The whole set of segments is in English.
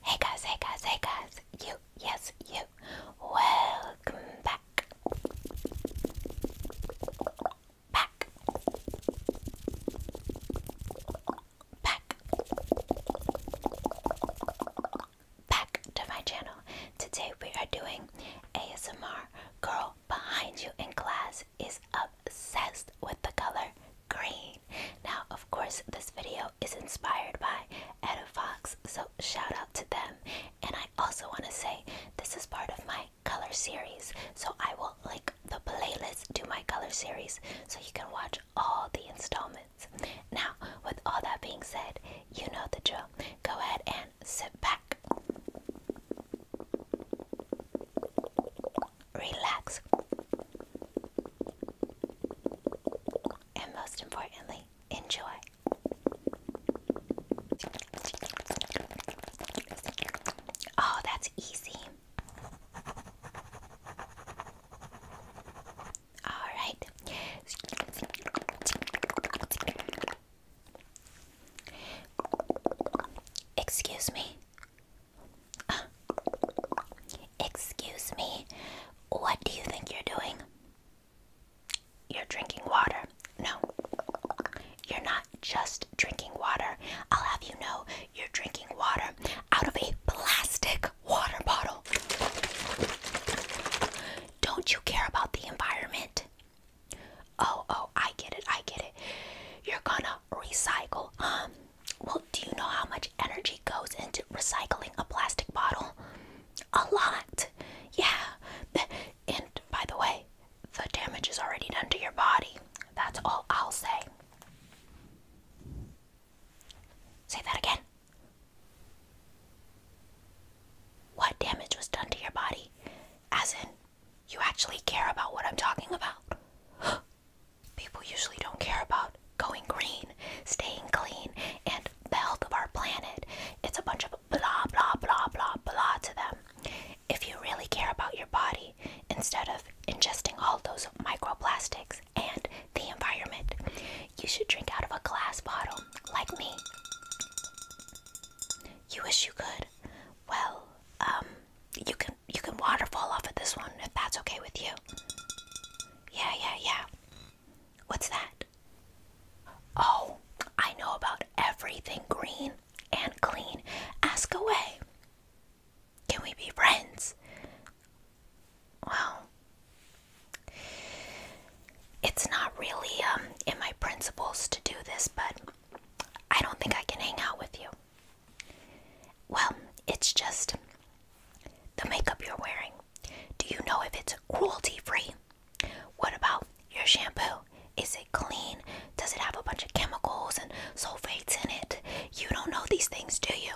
Hey guys, hey guys, hey guys, you, yes, you, welcome back. Back. Back. Back to my channel. Today we are doing ASMR Girl Behind You in Class is obsessed with the color green. Now, of course, this video is inspired by Etta Fox, so shout out to them. And I also want to say this is part of my color series, so I will link the playlist to my color series so you can watch all the installments. Now, with all that being said, you know the drill. Go ahead and sit back relax, and most importantly, enjoy. Oh, that's easy. All right. Excuse me excuse me, what do you think you're doing? You're drinking water. No, you're not just drinking water. I'll have you know you're drinking water out of a plastic water bottle. Don't you care about the environment? Oh, oh, I get it, I get it. You're gonna recycle. Um, well, do you know how much energy goes into recycling a plastic bottle? A lot. Yeah. And by the way, the damage is already done to your body. That's all I'll say. Say that again. What damage was done to your body? As in, you actually care about what I'm talking about. People usually don't care about going green, staying clean, and the health of our planet. It's a bunch of blah, blah, blah, blah, blah to them. If you really care about your body, instead of ingesting all those microplastics and the environment, you should drink out of a glass bottle, like me. You wish you could? Well, um, you can you can waterfall off of this one if that's okay with you. Yeah, yeah, yeah. What's that? Oh, I know about everything green and clean. Ask away. Can we be friends? Well, it's not really um, in my principles to do this, but I don't think I can hang out with you. Well, it's just the makeup you're wearing. Do you know if it's cruelty free? What about your shampoo? Is it clean? Does it have a bunch of chemicals and sulfates in it? You don't know these things, do you?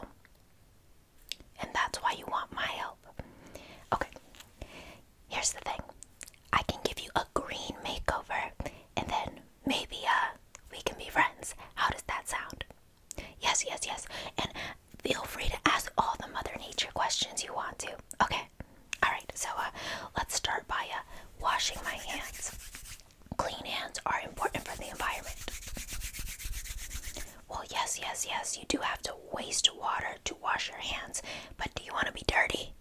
And that's why you want my help. Okay, here's the thing I can give you a green makeover and then maybe uh we can be friends. How does that sound? Yes, yes, yes. And feel free to ask all the mother nature questions you want to. Okay. All right. So uh let's start by uh washing my hands. Clean hands are important for the environment. Well, yes, yes, yes. You do have to waste water to wash your hands, but do you want to be dirty?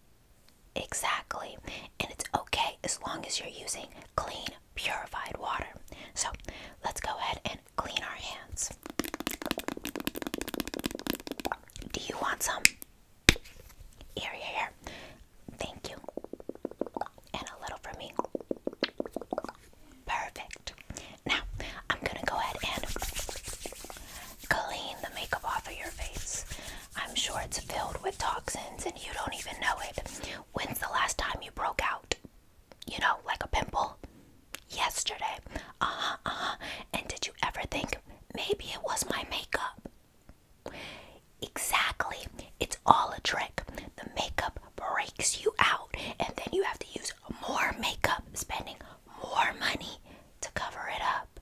Exactly. And it's okay as long as you're using clean purified water. So let's go ahead and clean our hands. Do you want some? Here, here, Thank you. And a little for me. Perfect. Now, I'm gonna go ahead and clean the makeup off of your face. I'm sure it's filled with toxins and you don't even know it. When's the last time you broke out? You know, like a pimple? Yesterday. Uh huh, uh-huh. And did you ever think maybe it was my makeup? Exactly. It's all a trick. The makeup breaks you out, and then you have to use more makeup, spending more money to cover it up.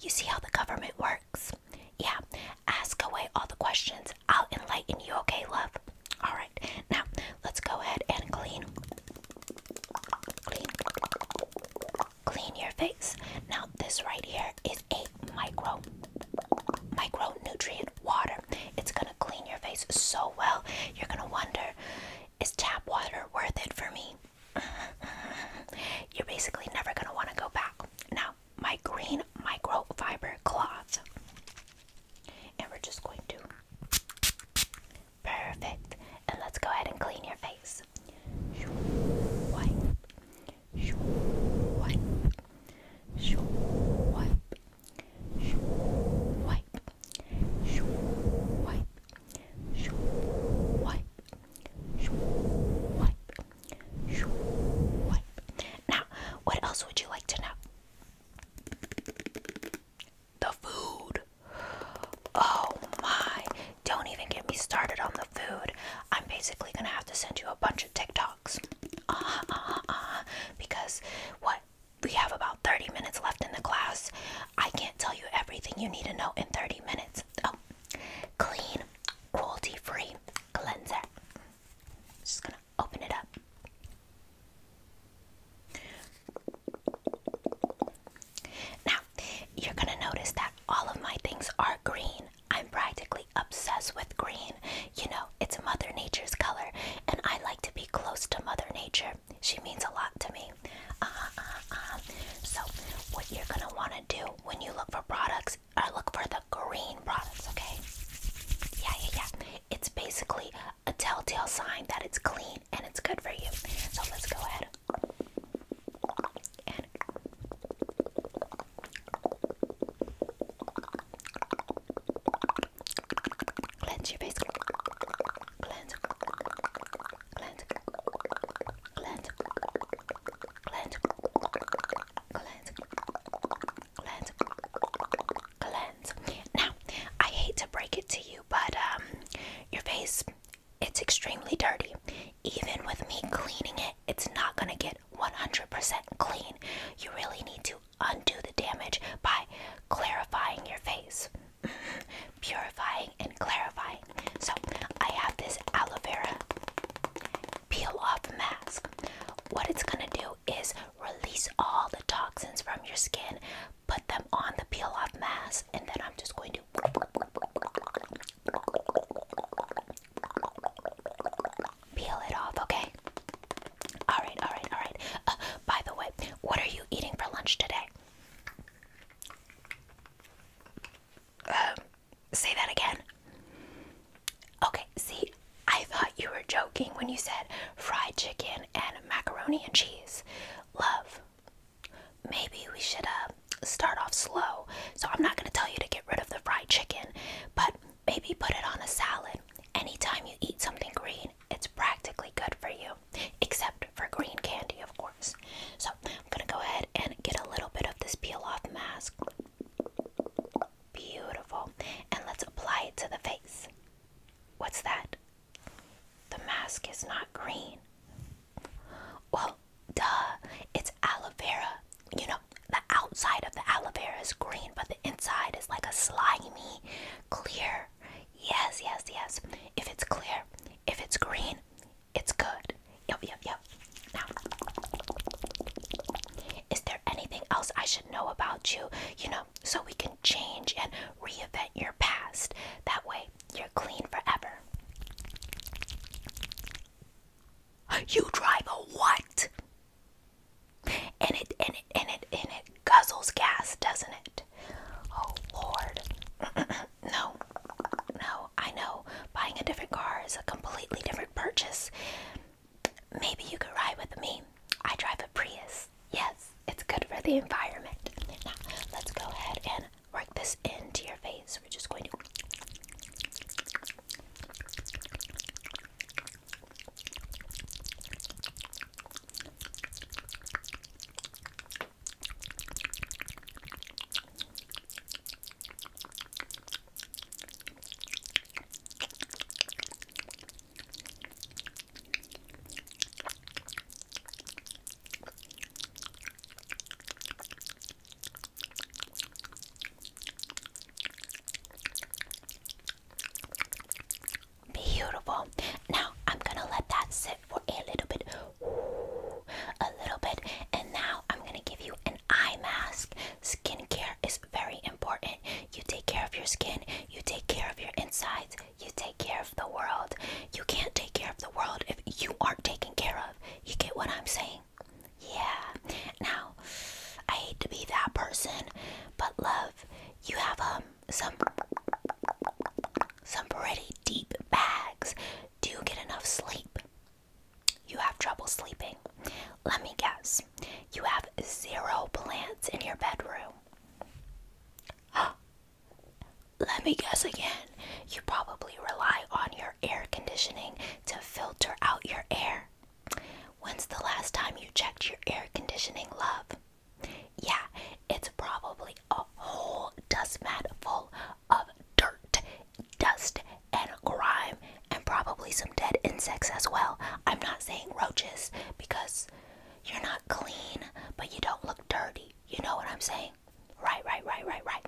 You see how the government works? Yeah, ask away all the questions. I'll enlighten you, okay, love? Alright, now let's go ahead and clean. Clean. your face. Now, this right here is a micro nutrient water. It's gonna clean your face so well. You're gonna wonder, is tap water worth it for me? You're basically never gonna want to go back. Now, my green microfiber cloth. And we're just going to. Perfect. And let's go ahead and clean your face. Wipe. Wipe. Wipe. Wipe. Wipe. Wipe. Wipe. Now, what else would you like to know? The food. Oh my. Don't even get me started on the food. I'm basically going to have to send you a bunch of TikToks. Uh -huh, uh Because what? We have about 30 minutes left in the class. I can't tell you everything you need to know in 30 minutes. Oh, clean, cruelty free cleanser. just gonna open it up. Now, you're gonna notice that all of my things are green. I'm practically obsessed with green. You know, it's Mother Nature's color, and I like to be close to Mother Nature. She means a lot to me. Uh -huh, uh uh-huh, uh-huh. So, what you're gonna wanna do when you look for products I look for the green products, okay? Yeah, yeah, yeah. It's basically a telltale sign that it's clean and it's good for you. So let's go ahead and cleanse your face. Cleanse, cleanse, cleanse, cleanse, cleanse, cleanse, cleanse. Now, I hate to break it to you, but um, your face, it's extremely dirty. Even with me cleaning it, it's not gonna get 100% clean. You really need to undo the damage by clarifying your face, purifying and clarifying. So, I have this aloe vera peel off mask. What it's gonna do is release all the toxins from your skin, put them on the peel off mask, and then I'm just going to. Peel it off, okay? Alright, alright, alright. Uh, by the way, what are you eating for lunch today? Um, say that again. Okay, see, I thought you were joking when you said fried chicken and macaroni and cheese. Love, maybe we should uh, start off slow. So I'm not going to tell you to get rid of the fried chicken, but maybe put it on a salad. Anytime you eat something green, it's practically good for you, except for green candy, of course. So I'm going to go ahead and get a little bit of this peel off mask. Beautiful. And let's apply it to the face. What's that? The mask is not green. Well, duh, it's aloe vera. You know, the outside of the aloe vera is green, but the inside is like a slimy, clear. Yes, yes, yes. If it's clear, if it's green, it's good. Yep, yep, yep is there anything else I should know about you? You know, so we can change and reinvent your past. That way, you're clean forever. You drive a what? And it and it and it and it guzzles gas, doesn't it? Oh Lord. no. No, I know. Buying a different car is a completely different purchase. Maybe you could ride with me. I drive a Prius. Yes, it's good for the environment. Now, let's go ahead and work this into your face. We're just going to. Beautiful. Now I'm gonna let that sit for a little bit, a little bit, and now I'm gonna give you an eye mask. Skincare is very important. You take care of your skin, you take care of your insides, you take care of the world. You can't take care of the world if you aren't taken care of. You get what I'm saying? Yeah. Now, I hate to be that person, but love, you have um some some pretty deep bags. Do you get enough sleep? You have trouble sleeping. Let me guess. You have zero plants in your bedroom. Let me guess again. You probably rely on your air conditioning to filter out your air. When's the last time you checked your air conditioning, love? Yeah, it's probably a whole dust mat full of dirt, dust, and grime and probably some dead insects as well. I'm not saying roaches because you're not clean, but you don't look dirty. You know what I'm saying? Right, right, right, right, right.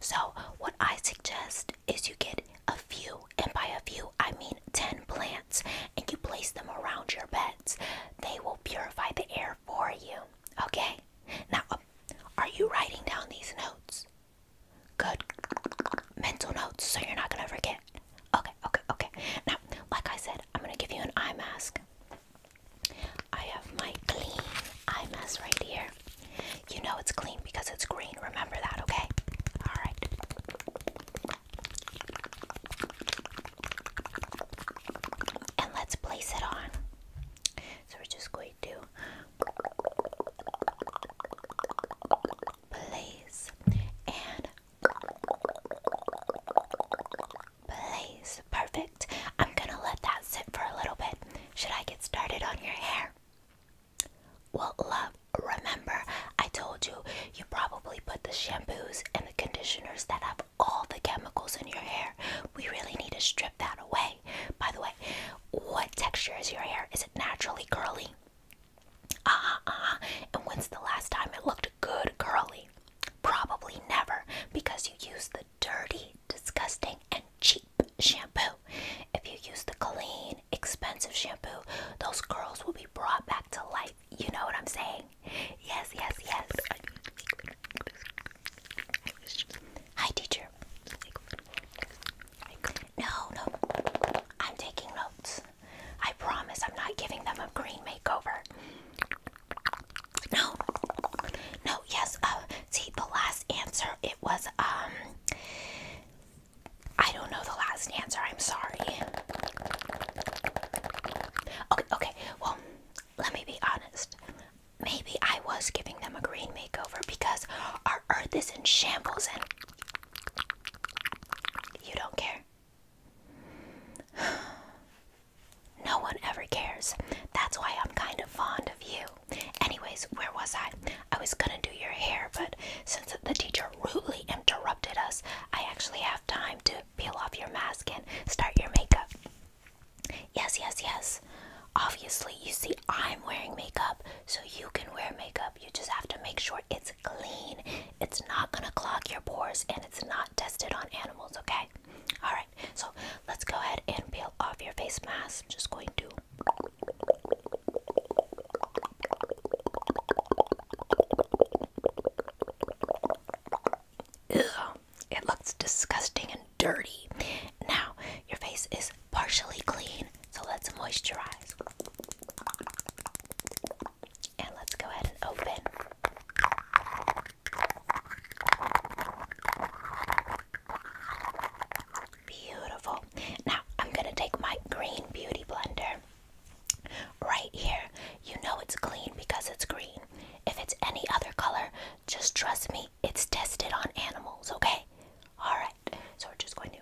So, what I suggest is you get a few, and by a few, I mean 10 plants, and you place them around your beds. They will purify the air for you. Okay? Now, are you writing down these notes? Good. Mental notes so you're not gonna forget. Okay, okay, okay. Now, like I said, I'm gonna give you an eye mask. I have my clean eye mask right here. You know it's clean because it's green. Remember that, okay? Alright. And let's place it on. So we're just going to place and place. Perfect. I'm gonna let that sit for a little bit. Should I get started on your hair? Well, love, remember, I told you you probably put the shampoos and the conditioners that have all the chemicals in your hair. We really need to strip that away. By the way, what texture is your hair? Is it naturally curly? Ah, uh ah. And when's the last time it looked good curly? Probably never, because you use the dirty, disgusting, and cheap shampoo. If you use the clean, expensive shampoo, those curls will be brought back to life. You know what I'm saying? Yes, yes, yes. Hi, teacher. No, no. I'm taking notes. I promise I'm not giving them a green makeover. No. No, yes. Uh, see, the last answer, it was, um, I don't know the last answer. I'm sorry. Okay, okay. Well, let me be honest. Maybe I was giving them a green makeover because our earth is in shambles and you don't care. No one ever cares. That's why I'm kind of fond of you. Anyways, where was I? I was gonna do your hair, but since the teacher rudely interrupted us, I actually have time to peel off your mask and start your makeup. Yes, yes, yes. Obviously, you see, I'm wearing makeup, so you can wear makeup. You just have to make sure it's clean. It's not gonna clog your pores and it's not tested on animals, okay? Alright, so let's go ahead and peel off your face mask. I'm just going to it looks disgusting and dirty. Now, your face is partially clean. So let's moisturize. And let's go ahead and open. Beautiful. Now, I'm going to take my green beauty blender right here. You know it's clean because it's green. If it's any other color, just trust me, it's tested on animals, okay? Alright, so we're just going to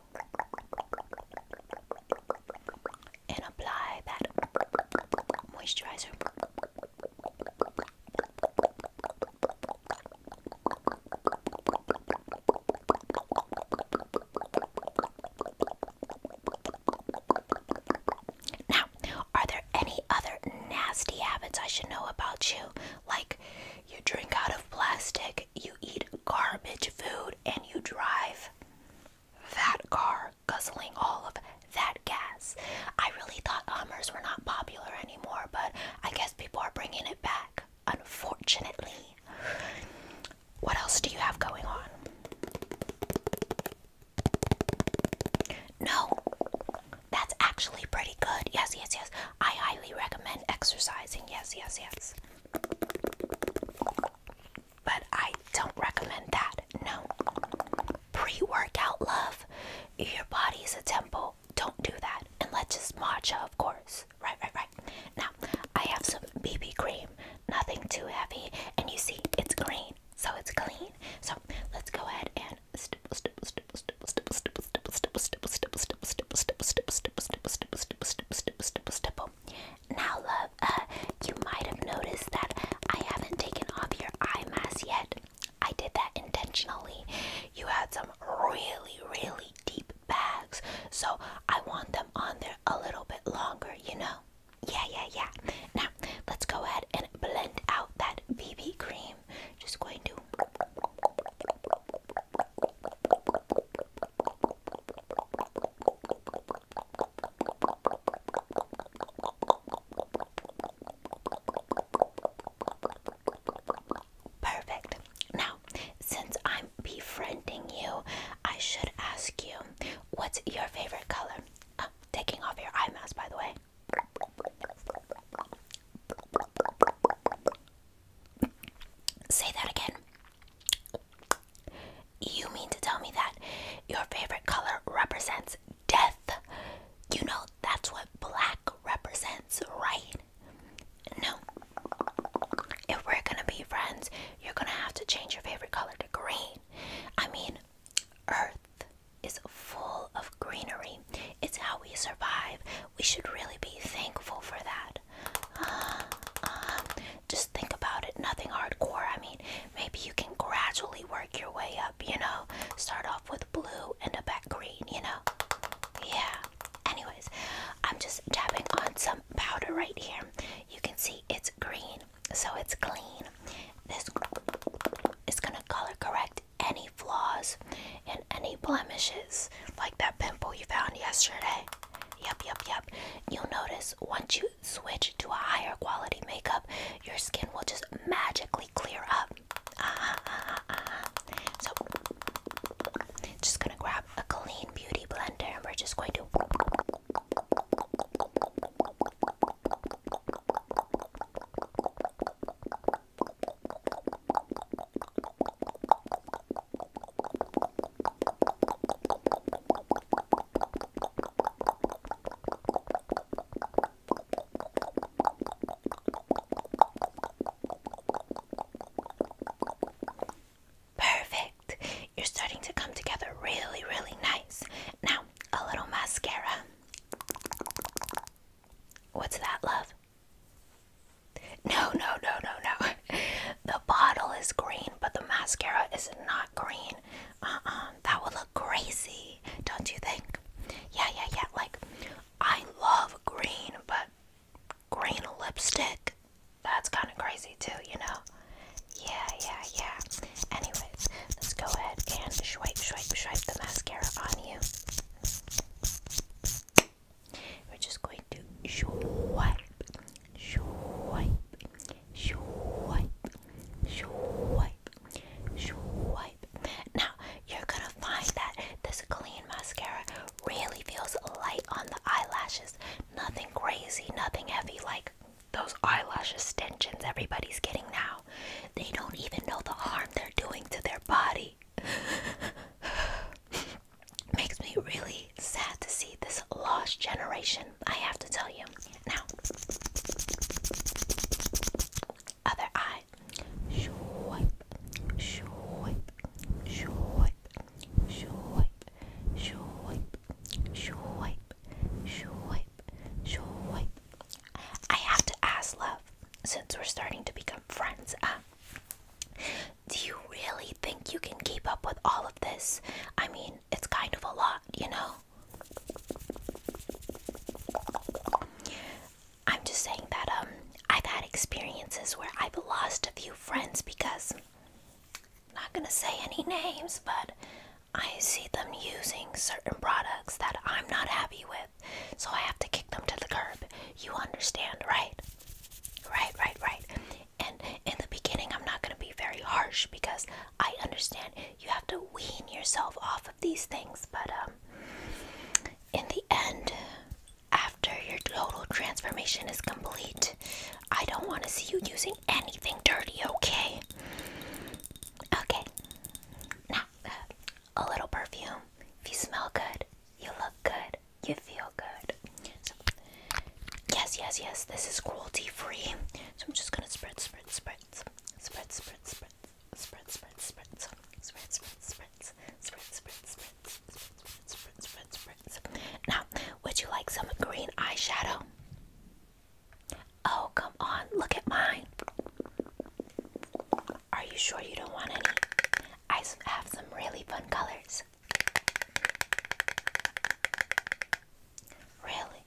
and apply that moisturizer. Now, are there any other nasty habits I should know about you? Like you drink out of plastic, you eat garbage food, and you drive that car, guzzling all of that gas. I really thought Hummers were not popular anymore, but I guess people are bringing it back, unfortunately. What else do you have going on? No, that's actually pretty good. Yes, yes, yes. I highly recommend exercising. Yes, yes, yes. But I don't recommend that. No. Pre workout love. Your body is a temple. Don't do that. And let's just matcha, of course. Right, right, right. Now, I have some BB cream. Nothing too heavy. And you see, it's green. So it's clean. So let's go ahead and stipple, Now, love, uh, you might have noticed that I haven't taken off your eye mask yet. I did that intentionally. You had some really, really deep bags, so I want them on there a little bit longer, you know? Yeah, yeah, yeah. Now, let's go ahead and blend out that BB cream. Just going to Perfect. Now, since I'm befriending you, I should ask you what's your favorite color? Oh, taking off your eye mask, by the way. Say that again. You mean to tell me that your favorite color represents death? You know that's what black represents, right? No. If we're gonna be friends, you're gonna have to change your favorite color to green. I mean, earth is full of greenery, it's how we survive. We should really be thankful for that. just think about it. Nothing hardcore. I mean, maybe you can gradually work your way up, you know? Start off with blue and a back green, you know? Yeah. Anyways, I'm just tapping on some powder right here. You can see it's green, so it's clean. This is gonna color correct any flaws and any blemishes, like that pimple you found yesterday. Yep, yep, yep. You'll notice once you switch to a higher quality makeup, your skin will just magically clear up. Uh -huh, uh uh-huh, uh-huh. So, just gonna grab a clean beauty blender and we're just going to. Perfect. You're starting to come together really, really nice. Now, a little mascara. What's that, love? No, no, no, no, no. The bottle is green, but the mascara is not green. Uh uh. That will look crazy, don't you think? Yeah, yeah, yeah. Like, I love green, but green lipstick? That's kind of crazy, too, you know? Yeah, yeah, yeah. Anyways, let's go ahead and swipe, swipe, swipe the mascara on you. We're just going to swipe, swipe, swipe, swipe, swipe. Now you're gonna find that this clean mascara really feels light on the eyelashes. Nothing crazy, nothing heavy like those eyelash extensions everybody's getting now. They don't even know the harm they're doing to their body. Makes me really sad to see this lost generation, I have to tell you. Now, other eye. I have to ask love since we're starting to become friends. Uh, do you really think you can keep up with all of this? I mean, it's kind of a lot, you know? I'm just saying that um I've had experiences where I've lost a few friends because not gonna say any names, but I see them using certain products that I'm not happy with, so I have to kick them to the curb. You understand, right? Right, right, right and in the beginning i'm not going to be very harsh because i understand you have to wean yourself off of these things but um, in the end after your total transformation is complete i don't want to see you using anything dirty okay okay now uh, a little perfume if you smell good you look good you feel good. So, yes, yes, yes, this is cruelty free. So I'm just gonna spread, spread, spread, spread, spread, spread, spread, spread, spread, spread, spread, spread, spread, spread, spread, spread, spread, spread. Now, would you like some green eyeshadow? Oh, come on, look at mine. Are you sure you don't want any? I have some really fun colors. Really?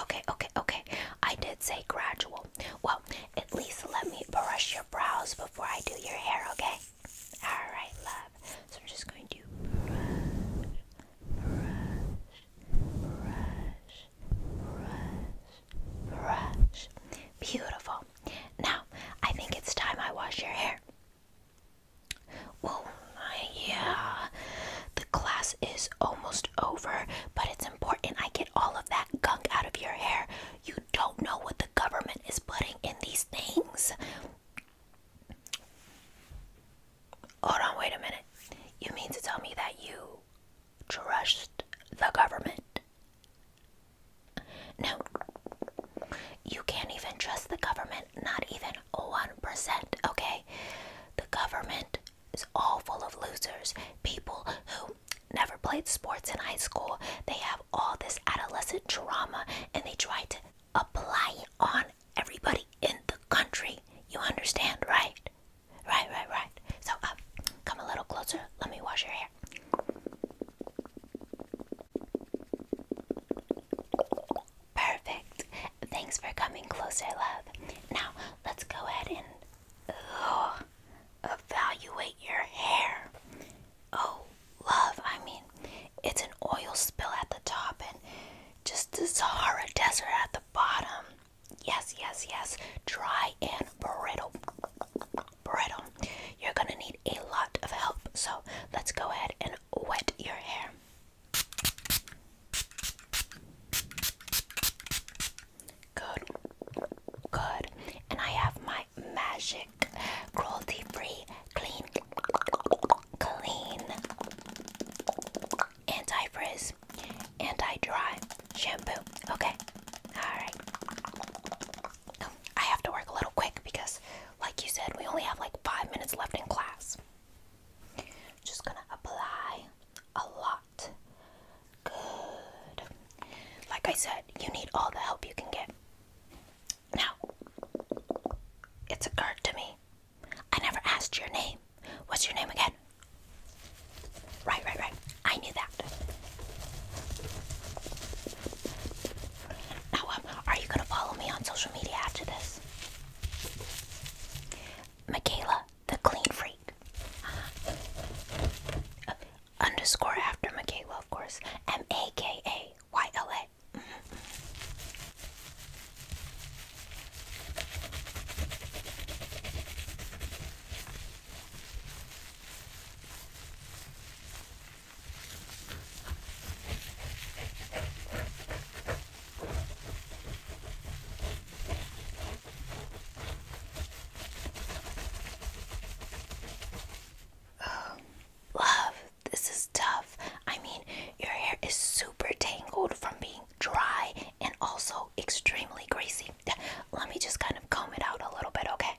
Okay, okay, okay. I did say gradual. Well, at least let me brush your brows before I do your hair, okay? Alright, love. So I'm just going to brush, brush, brush, brush, brush. Beautiful. Now, I think it's time I wash your hair. Well, yeah, the class is almost over, but it's important I get all of that gunk out of your hair. You don't know what the government is putting in these things. Hold on, wait a minute. You mean to tell me that you trust the government? No, you can't even trust the government, not even 1%, okay? The government is all full of losers, people who never played sports in high school. They have all this adolescent drama, and they try to apply it on everybody in the country. You understand, right? Right, right, right. So, uh, come a little closer. Let me wash your hair. Perfect. Thanks for coming closer, love. Now, let's go ahead and evaluate your hair. Oh, love, I mean, it's an oil spill at the top and just the Sahara Desert at the bottom. Yes, yes, yes. Dry and brittle brittle. You're gonna need a lot of help, so let's go ahead and wet your hair. Good, good. And I have my magic cruelty free, clean, clean, anti frizz, anti dry shampoo. Okay, alright. I have to work a little quick because like you said, we only have like five minutes left in class. Just gonna apply a lot. Good. Like I said, you need all the help you can get. Now, it's card to me. I never asked your name. What's your name again? Right, right, right. I knew that. Now, um, are you going to follow me on social media after this? Michaela, the clean freak. Uh, underscore after Michaela, of course. M A K A Y L A. Oh, love, this is tough. I mean, your hair is super tangled from being dry and also extremely greasy. Let me just kind of comb it out a little bit, okay?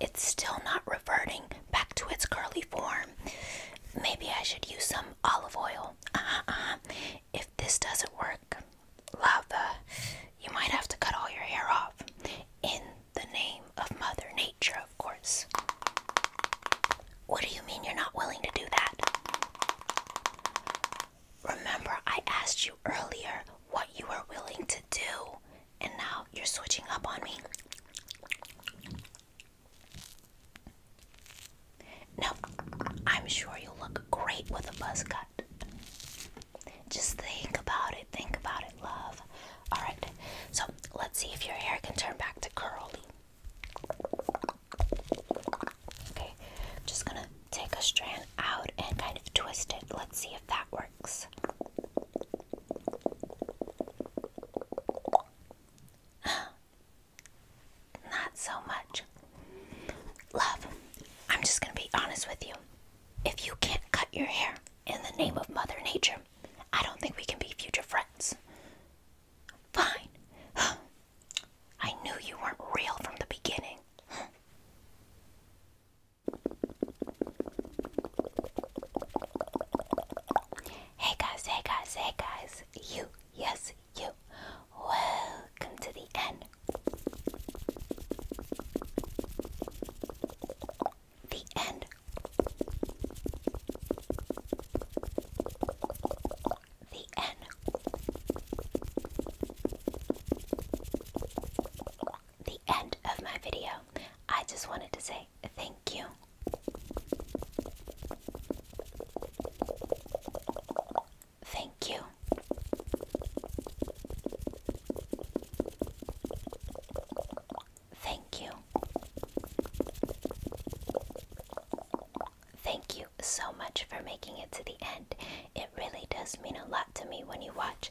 it's still not reverting back to its curly form. Maybe I should use some olive oil. Uh-huh, uh-huh. If this doesn't work, lava, you might have to cut all your hair off. In the name of Mother Nature, of course. What do you mean you're not willing to do that? Remember, I asked you earlier what you were willing to do and now you're switching up on me. No, I'm sure you look great with a buzz cut. Just think about it, think about it, love. Alright, so let's see if your hair can turn back to curly. Okay, just gonna take a strand out and kind of twist it. Let's see if that works. Not so much. Love, I'm just going to be honest with you. If you can't cut your hair in the name of Mother Nature, I don't think we can be future friends. Fine. I knew you weren't real from the beginning. Hey guys, hey guys, hey guys, you, yes, you. Welcome to the end. The end. The end the end of my video. I just wanted to say thank you. Thank you. Thank you. Thank you so much for making it to the end. It really does mean a lot to me when you watch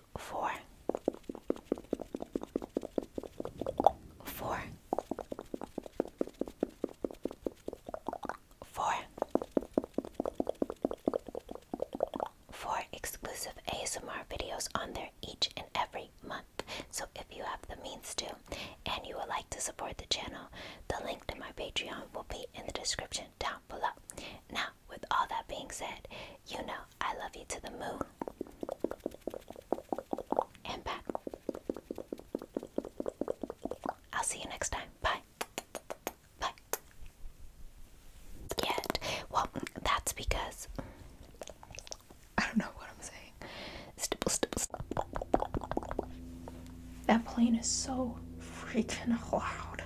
two, four, four, four, four exclusive ASMR videos on there each and every month. So if you have the means to and you would like to support the channel, the link to my Patreon will be in the description down below. Now with all that being said, you know I love you to the moon and back. I'll see you next time. Bye. Bye. Yet, well, that's because I don't know what I'm saying. That plane is so freaking loud.